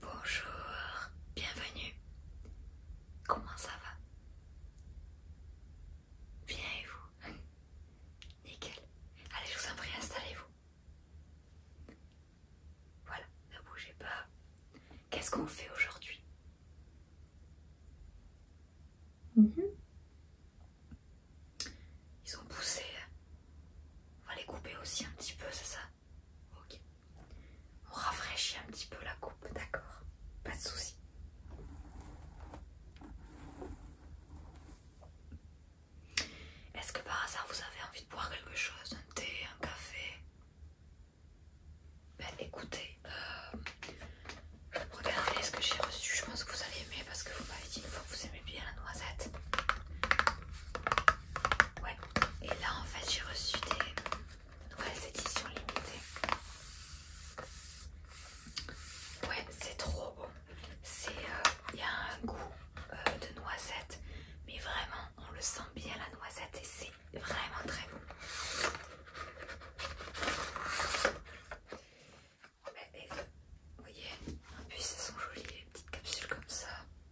Bonjour, bienvenue. Comment ça va Bien et vous Nickel. Allez, je vous en prie, installez-vous. Voilà, ne bougez pas. Qu'est-ce qu'on fait aujourd'hui mhm. Ils ont poussé. On va les couper aussi un petit peu, c'est ça Ok. On rafraîchit un petit peu la coupe, d'accord Pas de souci. Est-ce que par hasard vous avez envie de boire quelque chose Un thé, un café Ben écoutez, euh, regardez ce que j'ai reçu. Je pense que vous allez aimer parce que vous m'avez dit une fois que vous aimez bien la noisette. Ouais, et là, en fait, j'ai reçu des nouvelles éditions limitées. Ouais, c'est trop bon. Euh, il y a un goût euh, de noisette, mais vraiment, on le sent bien la noisette et c'est vraiment très bon. Ben, vous voyez, en plus elles sont jolies, les petites capsules comme ça.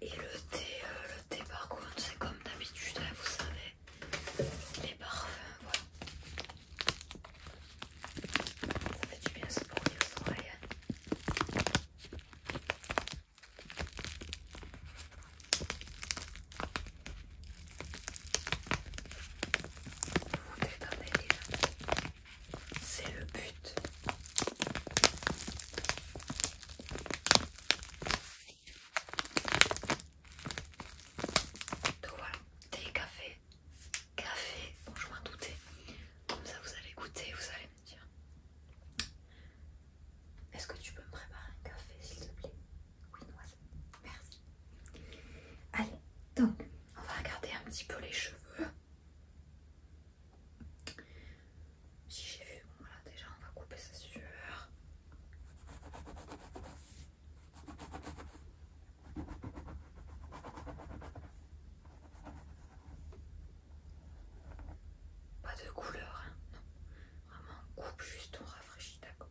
Et le thé, euh, le thé par contre, c'est comme d'habitude, hein, vous savez, les parfums, voilà. Ça fait du bien ce bruit aux oreilles. Hein. Vous détendez hein. C'est le but. Donc voilà, thé, café, café, bon je m'en doutais. Comme ça vous allez goûter, vous allez me dire. Est-ce que tu peux me préparer un café s'il te plaît Oui, noisette, merci. Allez, donc on va regarder un petit peu les cheveux. Si j'ai vu, voilà déjà on va couper ça sûr. Pas de couleur, hein, non. Vraiment on coupe juste, on rafraîchit, d'accord.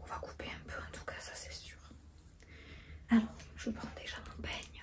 On va couper un peu en tout cas, ça c'est sûr. Alors je prends déjà mon peigne.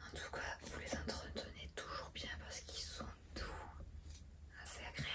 En tout cas, vous les entretenez toujours bien parce qu'ils sont doux, assez agréables.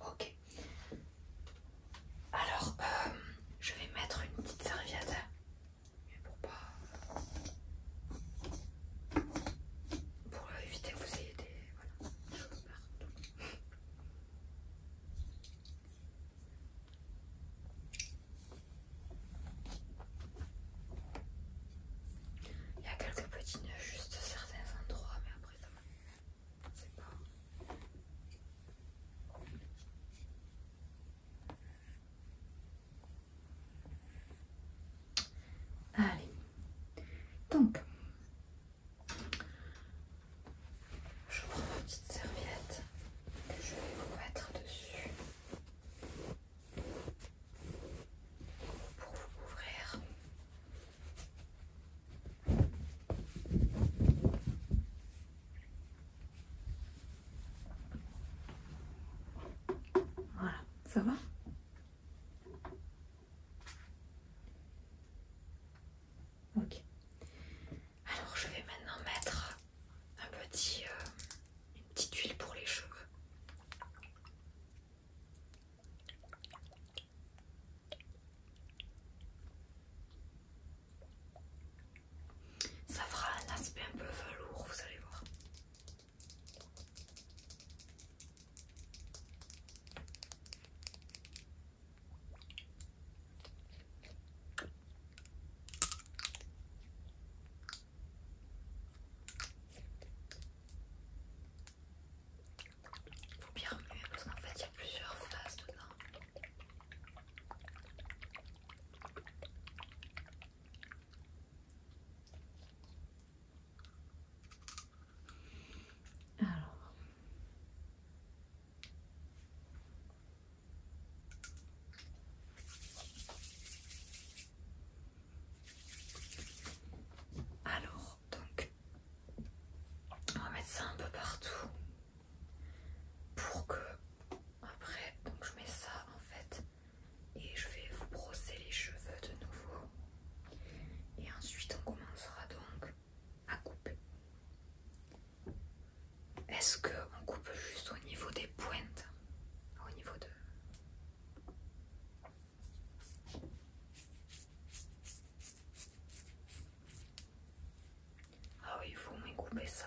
Ok. Alors, euh, je vais mettre une petite serviette. pour pas... Pour éviter que vous ayez des... Voilà, il y a quelques petits ajustes, juste certains endroits, mais après ça va. C'est pas. Allez, donc je prends ma petite serviette que je vais vous mettre dessus pour vous couvrir. Voilà, ça va Ok. Alors je vais maintenant mettre un petit, euh, une petite huile pour les cheveux. Ça fera un aspect un peu velours, vous allez voir. Faut bien remuer parce qu'en fait il y a plusieurs phases dedans. Alors, alors, donc, on va mettre ça un peu partout pour que après, donc je mets ça en fait et je vais vous brosser les cheveux de nouveau. Et ensuite, on commencera donc à couper. Est-ce qu'on coupe juste au niveau des pointes Au niveau de... Ah oui, il faut couper ça.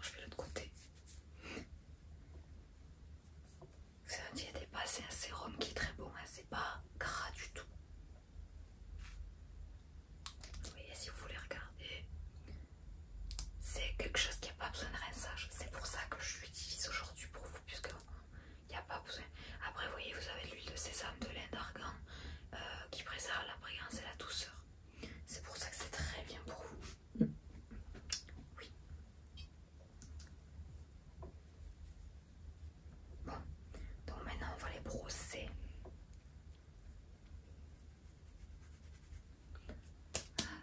je vais l'autre côté. C'est un pas, c'est un sérum qui est très bon, hein. c'est pas gras du tout. Vous voyez, si vous voulez regarder, c'est quelque chose qui n'a pas besoin de rinçage. C'est pour ça que je l'utilise aujourd'hui pour vous, puisque il n'y a pas besoin. Après, vous voyez, vous avez l'huile de sésame, de lin d'argan euh, qui préserve la brillance et la douceur. C'est pour ça que c'est très bien pour vous. Oui. Bon, donc maintenant on va les brosser. Alors.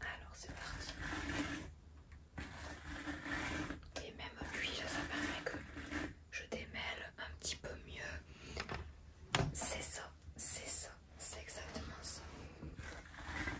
Alors c'est parti. Et même lui ça permet que je démêle un petit peu mieux. C'est ça, c'est ça, c'est exactement ça.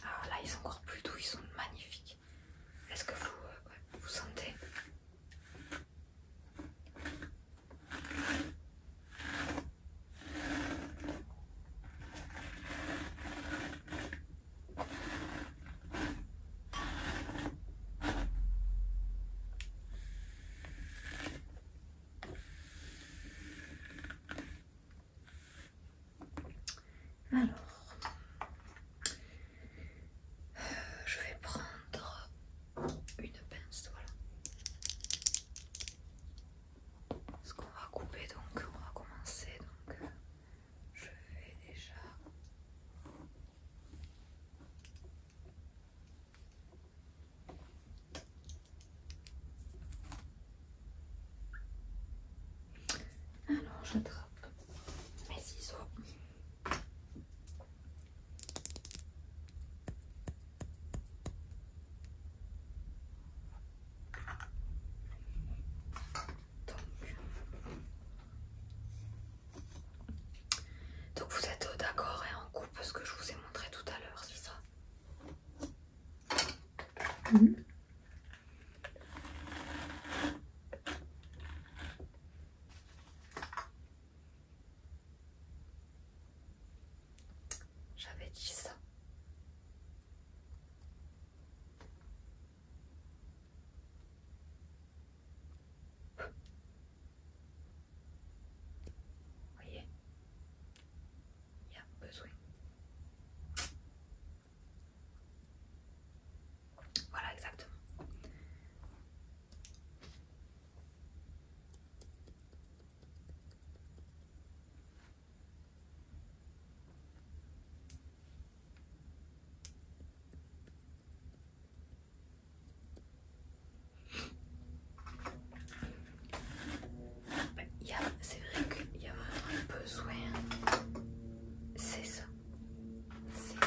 Alors ah, là, ils sont encore plus doux, ils sont magnifiques. Est-ce que vous, euh, vous sentez alors, je vais prendre une pince, voilà. Parce qu'on va couper donc, on va commencer donc euh, je vais déjà alors je j'attrape mes ciseaux donc, vous êtes euh, d'accord et en coupe ce que je vous ai montré tout à l'heure, c'est ça J'avais dit ça. Vous voyez Il y a besoin. Voilà exactement. C'est vrai qu'il y a vraiment besoin. C'est ça. C'est ça.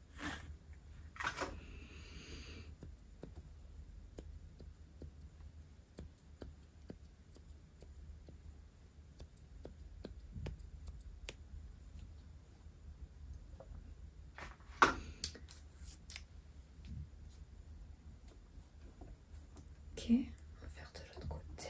Ok, on va faire de l'autre côté.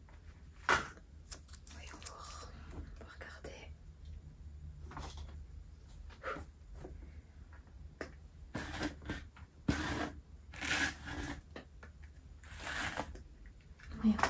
Voyons voir, on va regarder. Voyons voir.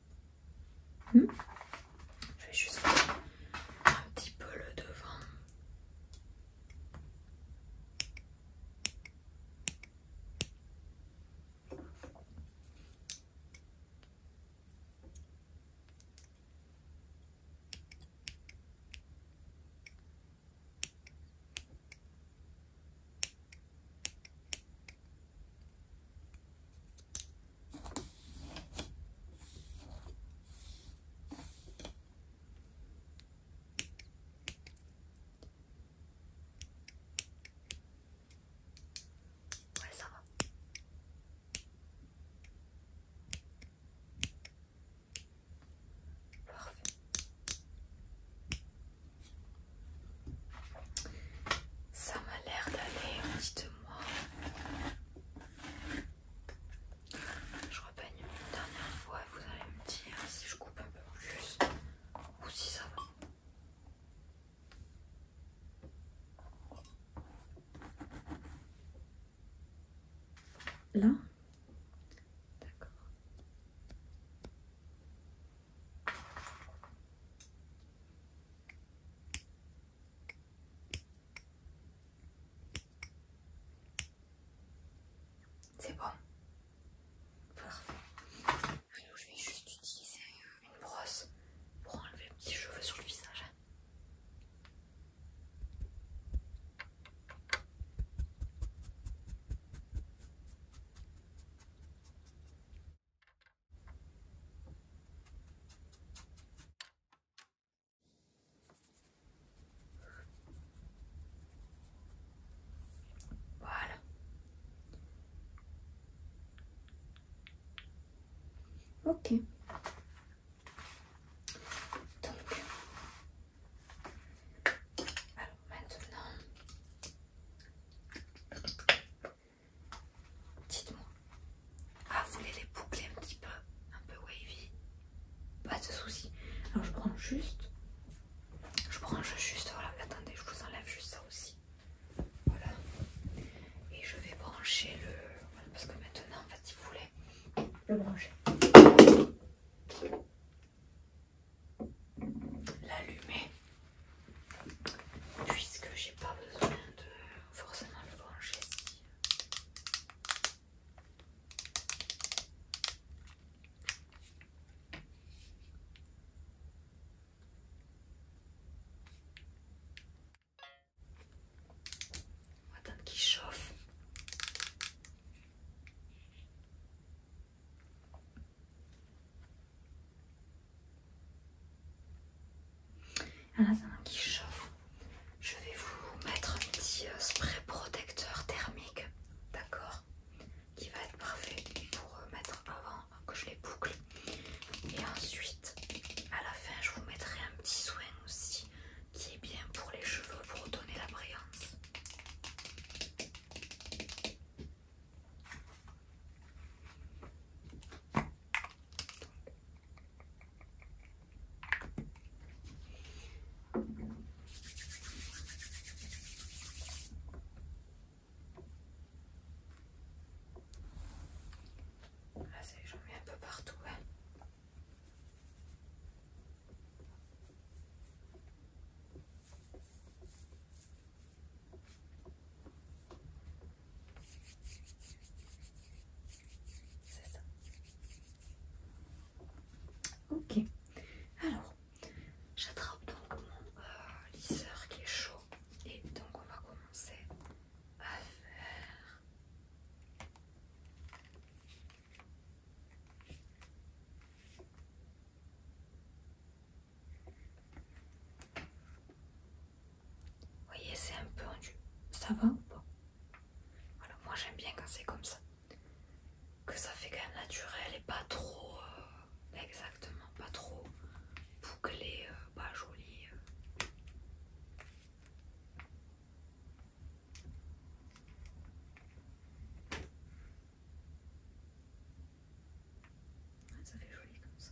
Hmm. je vais juste un petit peu le devant. Ouais, ça va. Parfait. Ça m'a l'air d'aller, petit peu je repeigne une dernière fois vous allez me dire si je coupe un peu plus ou si ça va. Là D'accord. C'est bon. Parfait. je vais juste utiliser euh, une brosse pour enlever les petits cheveux sur le visage. Voilà. Ok. alors maintenant, Dites-moi. Ah, vous voulez les boucler un petit peu Un peu wavy Pas de soucis. Alors je prends juste. Je branche juste. Voilà, attendez, je vous enlève juste ça aussi. Voilà. Et je vais brancher le. parce que maintenant, en fait, si vous voulez, le brancher. L'allumer puisque j'ai pas besoin de forcément le brancher si on va qu'il chauffe en ça chauffe. Je vais vous mettre un petit euh, spray protecteur thermique, d'accord Qui va être parfait pour euh, mettre avant que je les boucle. Et ensuite, à la fin, je vous mettrai un petit soin aussi qui est bien pour les cheveux pour donner la brillance. Ah, ça j'en mets un peu partout. Hein. Ok. Alors, j'attrape donc mon euh, lisseur qui est chaud. Et donc on va commencer à faire... Vous voyez, c'est un peu enduit. Ça va ou pas moi j'aime bien quand c'est comme ça. Que ça fait quand même naturel et pas trop. Euh, exactement, pas trop bouclé, euh, pas joli. Euh. Ah, ça fait joli comme ça.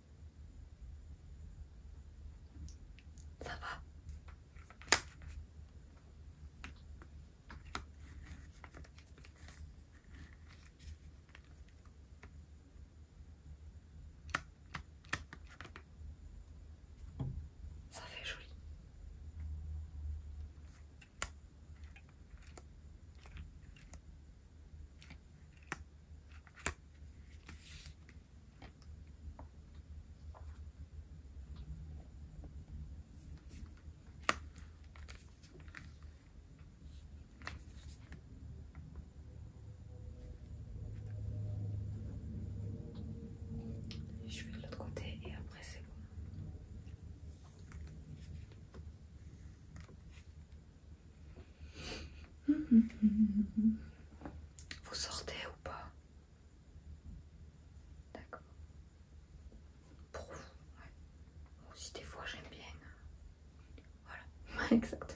Ça va Ça fait joli. Je vais de l'autre côté et après c'est bon. Vous sortez ou pas D'accord. Pour vous, ouais. Moi des fois j'aime bien. Voilà, exactement.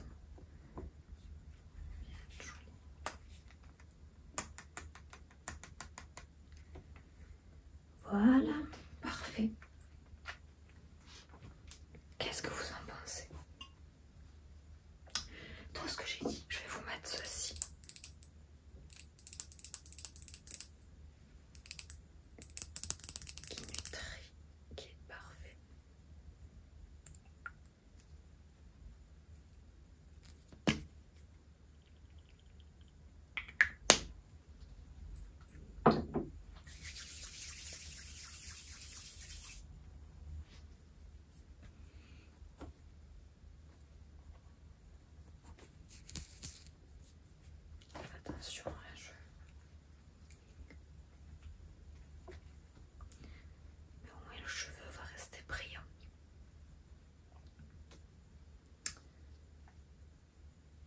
Voilà, parfait. Qu'est-ce que vous en pensez tout ce que j'ai dit, je vais vous mettre ceci. Qui nutrit, qui est parfait. Attention, à je... Mais au moins le cheveu va rester brillant.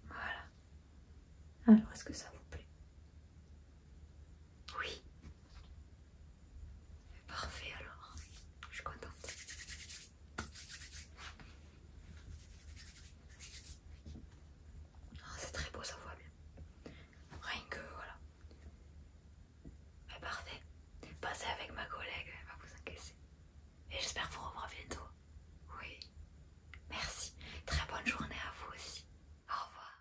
Voilà. Alors, est-ce que ça vous plaît Oui. Parfait alors, je suis contente. Ah, c'est très beau, ça voit bien. Rien que voilà. Mais parfait. Passez avec ma collègue, elle va vous encaisser. Et j'espère vous revoir bientôt. Oui. Merci. Très bonne journée à vous aussi. Au revoir.